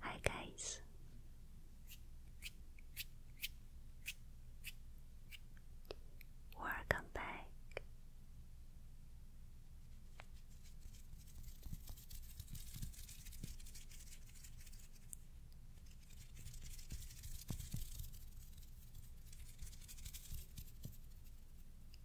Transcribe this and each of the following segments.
Hi guys. Welcome back.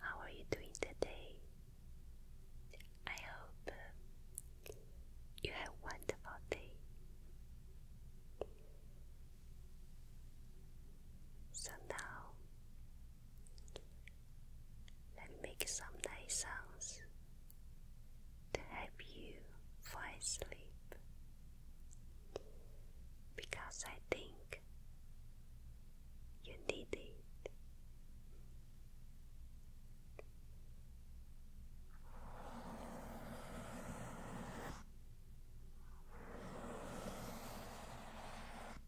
How are you doing today? I hope you have wonderful day. So now let me make some nice sounds to help you fall asleep because I think you need it.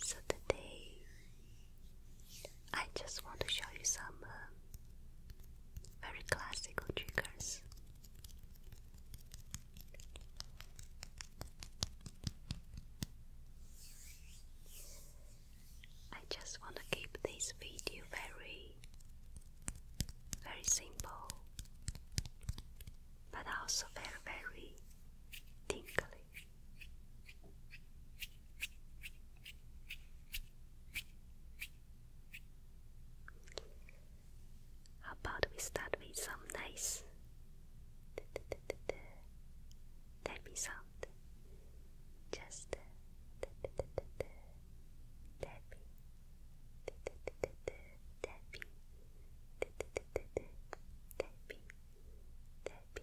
So today, I just want to show you some uh, very classical triggers I just want to keep this video very, very simple, but also very, very tingly. How about we start with some nice tappy sound? Just tappy, tappy, tappy, tappy, tappy, tappy, tappy.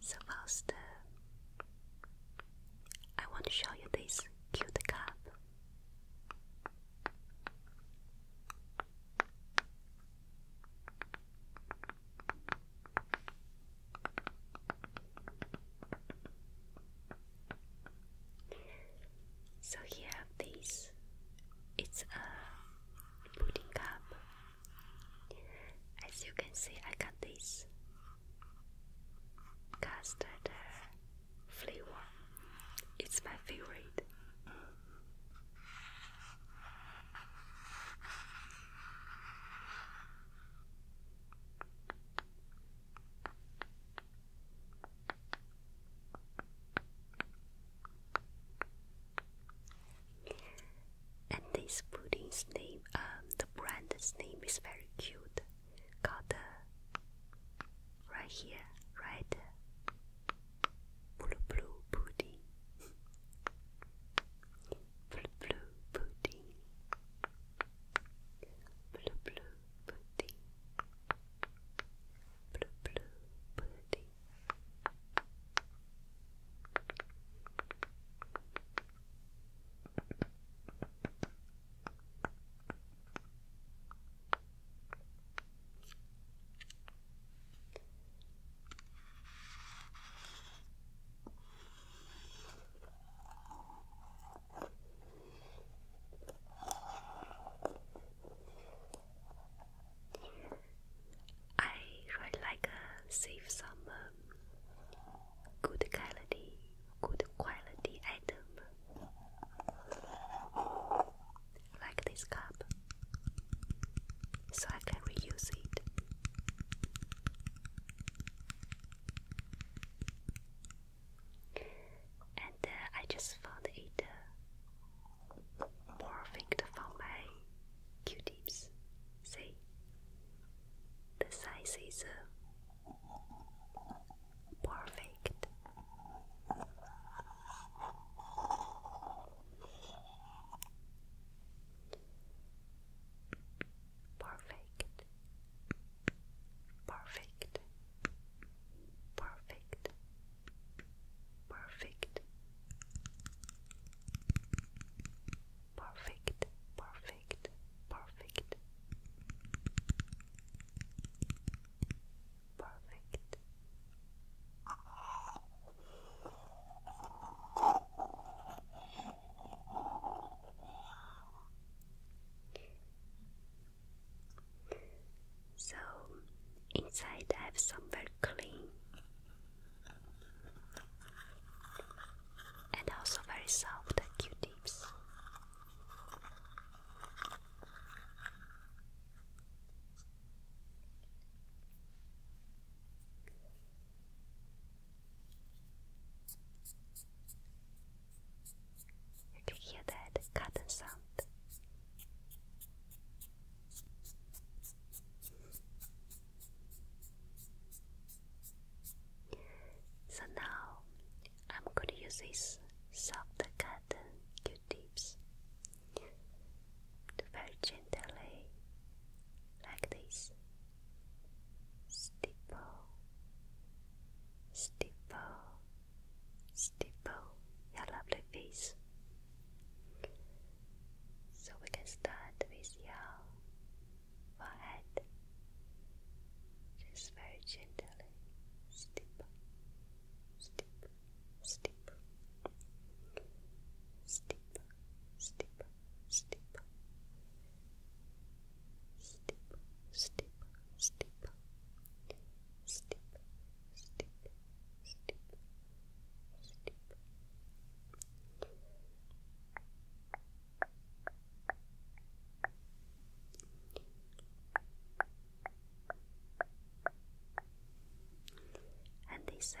So first, uh, I want to show you this cute cup. So here this. It's a pudding cup. As you can see, I got this custard uh, flavor. It's my favorite. And this pudding's name, um, the brand's name is very cute. Got the right here, right? Blue blue pudding. Blue blue pudding. Blue blue pudding. Blue blue pudding. I really like a safe some good quality, good quality item this cup, so I can reuse it. And uh, I just found it uh, perfect my Q-tips. See, the size is uh, perfect. Perfect. Perfect. Perfect. Perfect. Perfect. Perfect perfect, perfect, perfect. So inside I have somewhere clean and also very soft Q-tips. You can hear that cotton sound. So now I'm going to use these soft cotton Q-tips to very gently, like this. Stipple, stipple, stipple your lovely face. So we can start with your forehead. Just very gently. Stipple, stipple, stipple, stipple, stipple, stipple, stipple, stipple, stipple, stipple, stipple, stipple, stipple. And this said.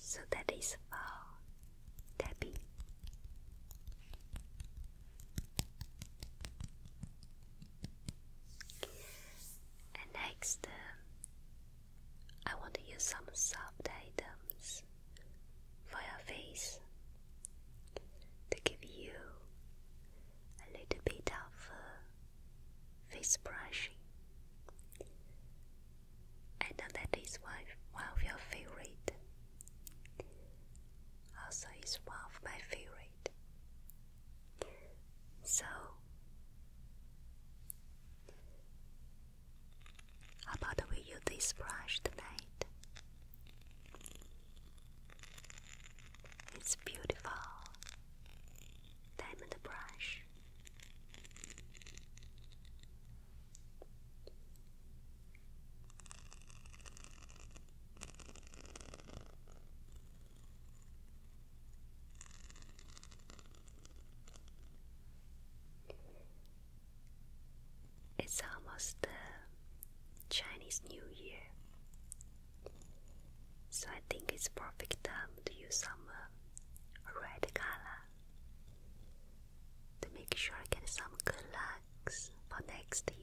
So that is all, Tabby. And next, uh, I want to use some soft items for your face to give you a little bit of uh, face brushing. I know that is one, one of your favorite. Also, is one of my favorite. So, how about we use this brush tonight? It's beautiful diamond brush. It's almost the Chinese New Year, so I think it's perfect time to use some uh, red color to make sure I get some good looks for next year.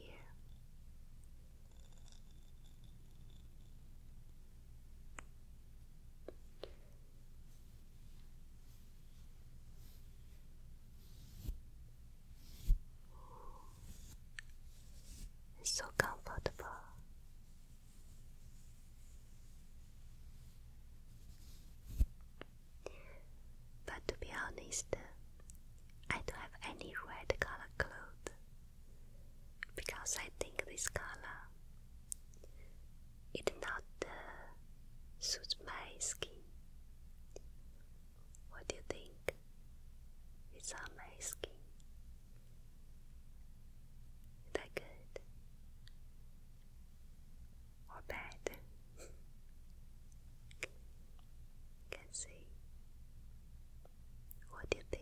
so comfortable. But to be honest, I don't have any red color clothes because I think this color it not uh, suits my skin. What do you think? It's on my skin that good or bad? Can see. What do you think?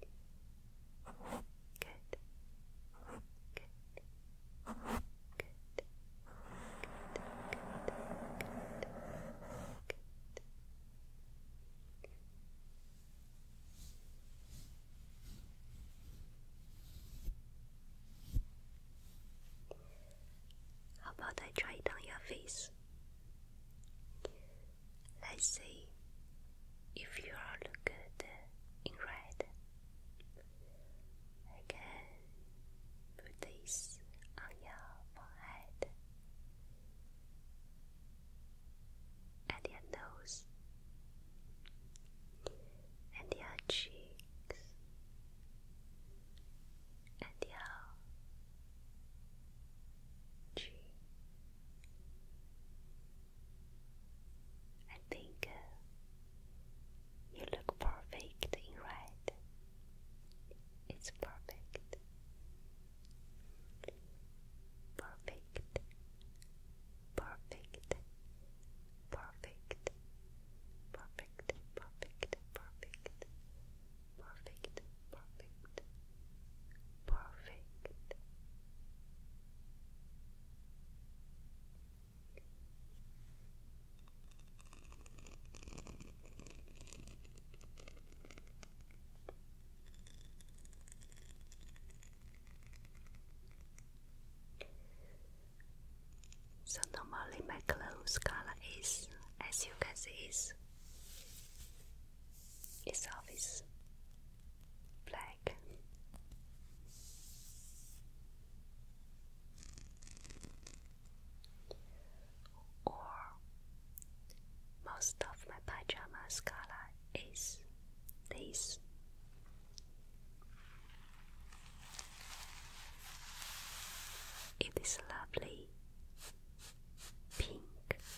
Good. Good. Good. Good. Good. Good. Good. How about I try it on your face? Let's see if you are good in red. I can put this on your forehead and your nose and your cheeks and your G. I think uh, you look perfect in red. It's Perfect. Perfect. Perfect. Perfect. Perfect. Perfect. Perfect perfect, perfect, perfect. So normally my clothes color is, as you can see, is itself is black. Or most of my pajamas color is this. It is lovely pink.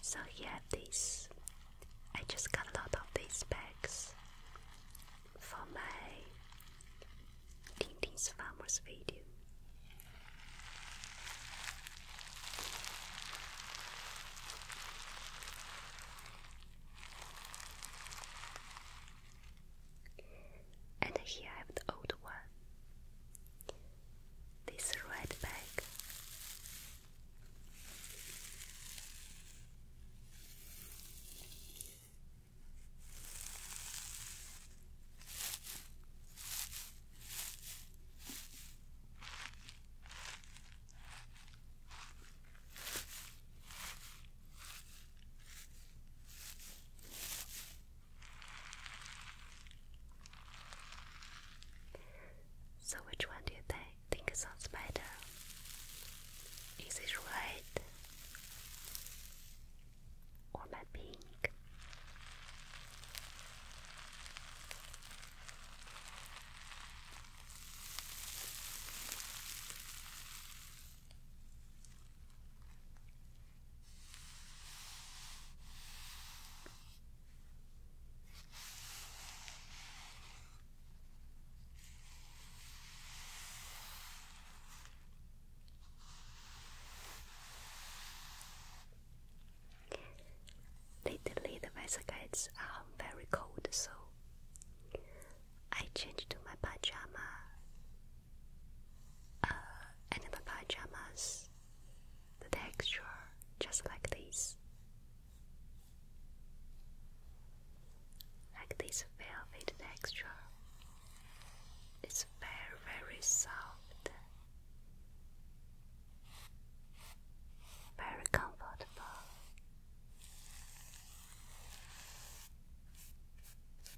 So yeah, this I just got a lot of these bags for my Tintin's Farmers video and here I have the old one. This red bag. So which one do you th think sounds better? Is it red or my pink? Lately, the weather gets um, very cold, so I changed to my pajama uh, animal pajamas, the texture just like this, like this velvet texture. It's very, very soft, very comfortable.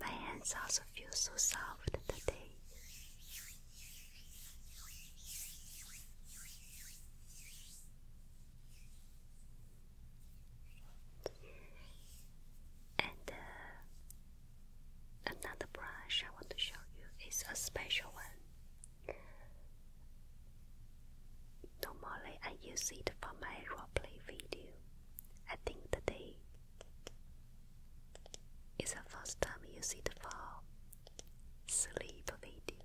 My hands also feel so soft today. And uh, another brush I want to show you is a special one. Normally, I use it for my roleplay video. I think today is the first time you see it for sleep video.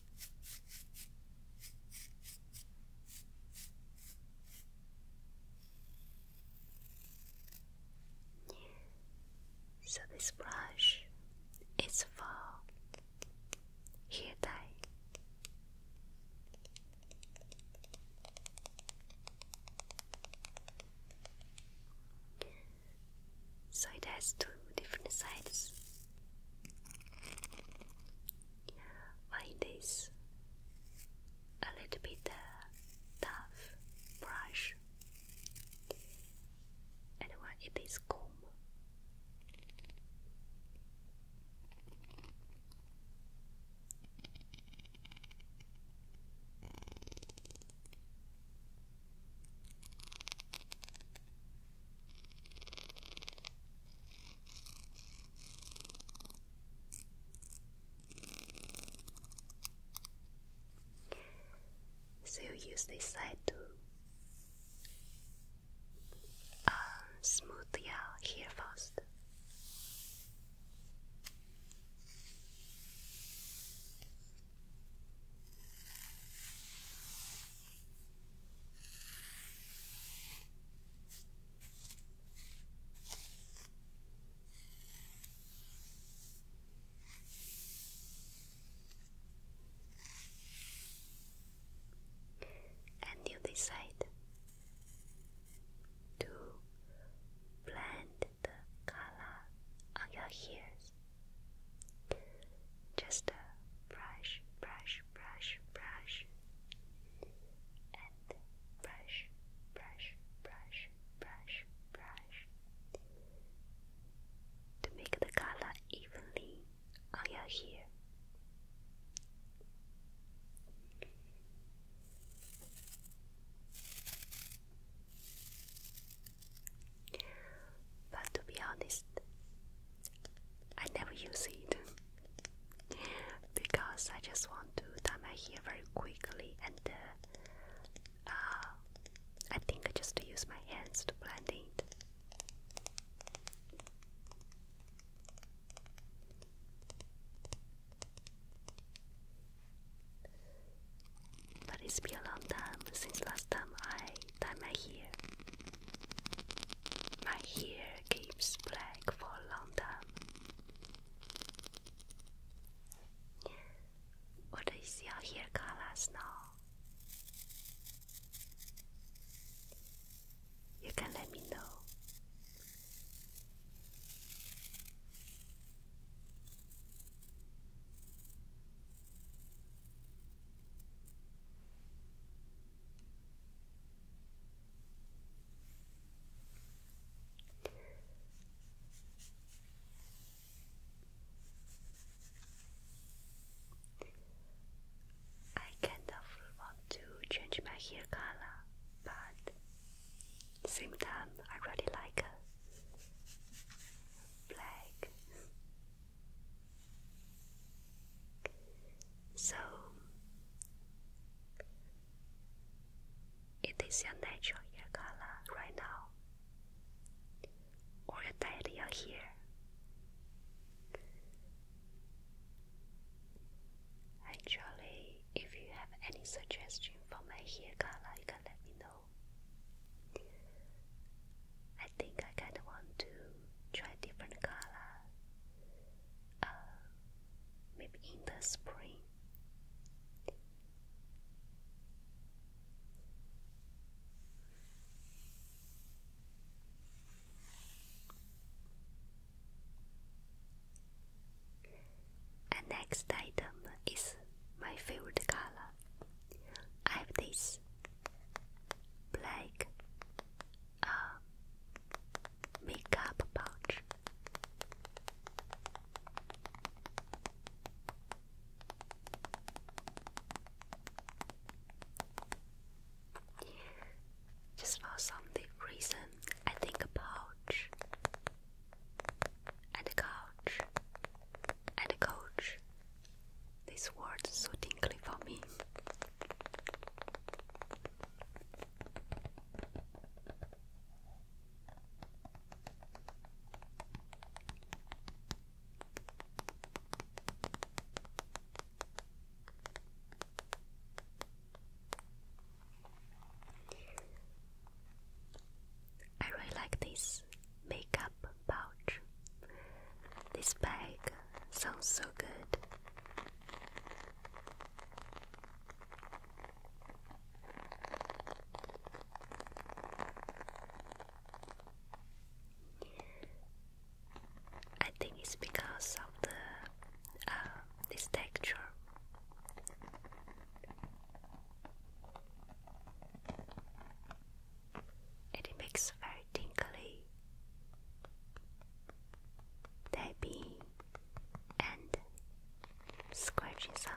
So this brush is for hair dye. So it has two different sides. Why this a little bit uh, tough brush and it is comb? So you use this side to um, smooth your uh, hair first. And you decide to blend the color on your hairs just a brush, brush, brush, brush, and brush, brush, brush, brush, brush to make the color evenly on your hair. But to be honest, I never use it because I just want to dye my hair very quickly and uh, uh, I think I just use my hands to blend it. But it's been a long time since last time I than my hair. My hair keeps black for a long time. What is your hair colors now? You can let me know. I kind of want to change my hair color, but same time I really like black. So, it is your natural hair color right now, or you dyed your hair. Actually, if you have any suggestion for my hair color, you can let me know think I kind of want to try different color. Uh, maybe in the spring. And next item is my favorite color. I have this like a makeup pouch. Just for some reason, I think a pouch and a couch and a coach this word is so tingly for me. I really like this this makeup pouch. This bag sounds so good. I think it's because of the uh, this texture and it makes a very tinkly, tapping and scratching sound.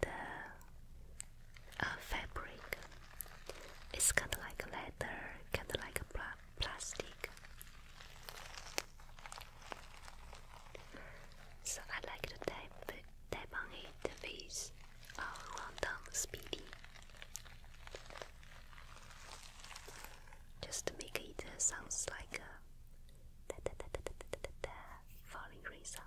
The uh, fabric is kind of like leather, kind of like a plastic plastic. So I like to type type on it with a random speedy. Just to make it uh, sounds like a falling rain sound.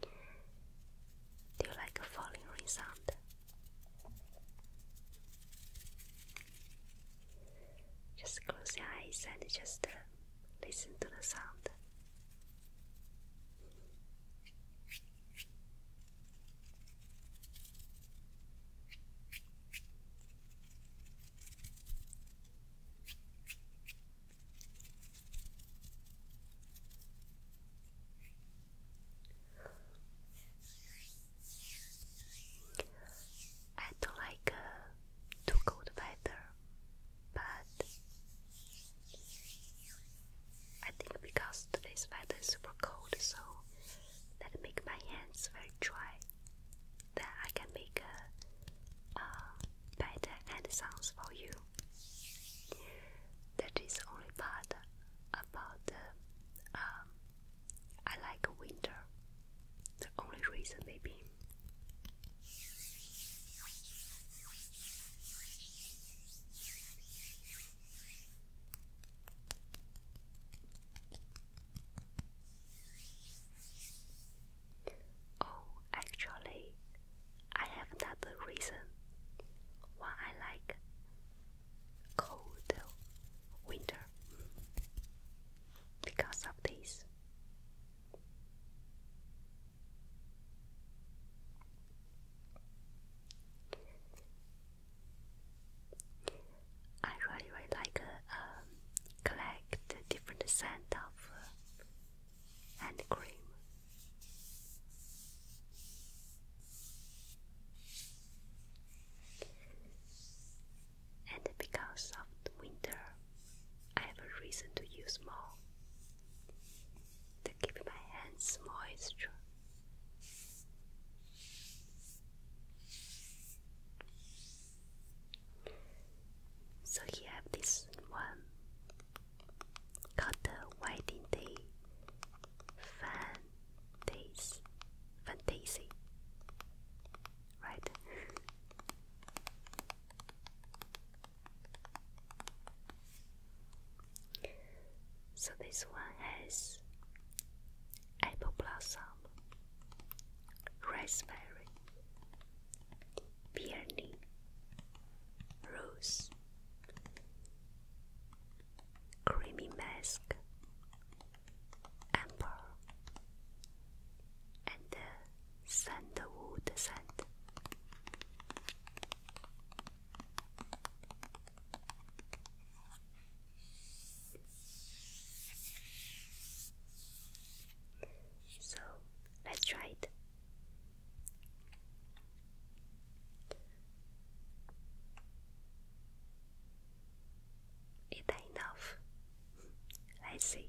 Do you like falling rain sound? Just close your eyes and just uh, listen to the sound. I don't like too cold weather, but I think because today's weather is super cold, so that make my hands very dry that I can make a, better end sounds for you. That is only part about the. Um, I like winter. The only reason, maybe. Oh, actually, I have another reason why I like cold winter because of this. I really, really like um, collect different scent of uh, hand cream. And because of the winter, I have a reason to use more to keep my hands moisture. So you have this one called the Wedding Day Fantasy, Fantasy, right? so this one has apple blossom raspberry, peony, rose, creamy mask, amber, and sandalwood scent. So let's try it. Is that enough? Let's see.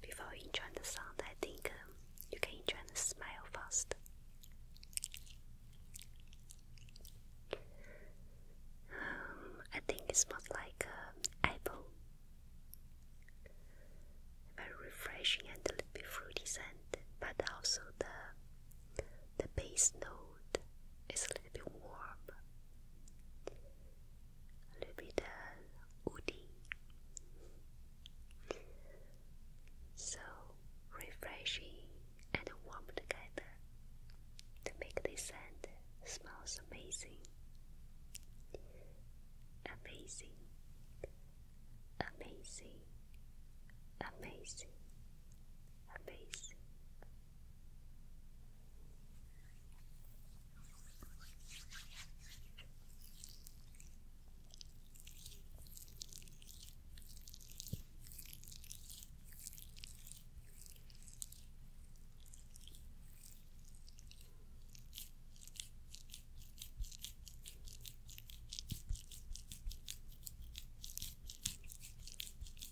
Before you enjoy the sound, I think um, you can enjoy the smile first. Um, I think it smells like uh, apple. Very refreshing and a little bit fruity scent, but also the the bass note is a little bit warm, a little bit uh, woody. So refreshing and warm together to make this scent smells amazing. Amazing, amazing, amazing, her face.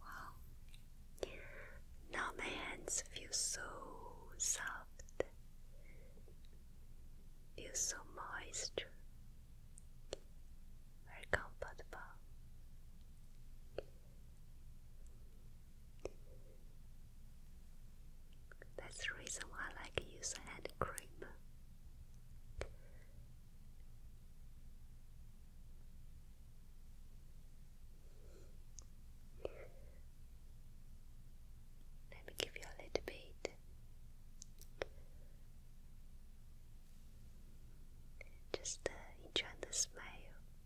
Wow. Now my hands feel so soft, feel so moist, very comfortable. That's the reason why I like to use hand cream. Let me give you a little bit. Just uh, enjoy the smile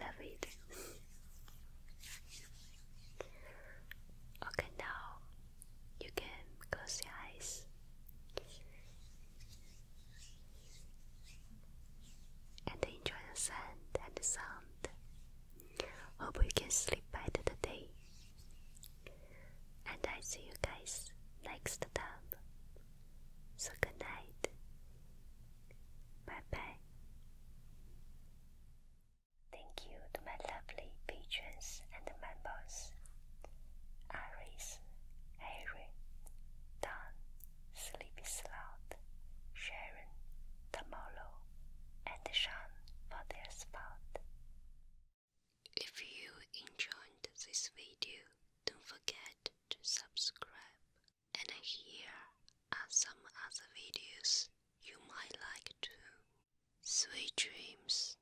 Love it. okay, now you can close your eyes. And enjoy the scent and the sound. Hope you can sleep better today. And I see you guys next time. So good night. Bye bye. Thank you to my lovely patrons and members Iris, Harry, Don, Sleepy Sloth, Sharon, Tamolo, and Sean for their spot. If you enjoyed this video, don't forget to subscribe. And here are some other videos you might like too. Sweet dreams.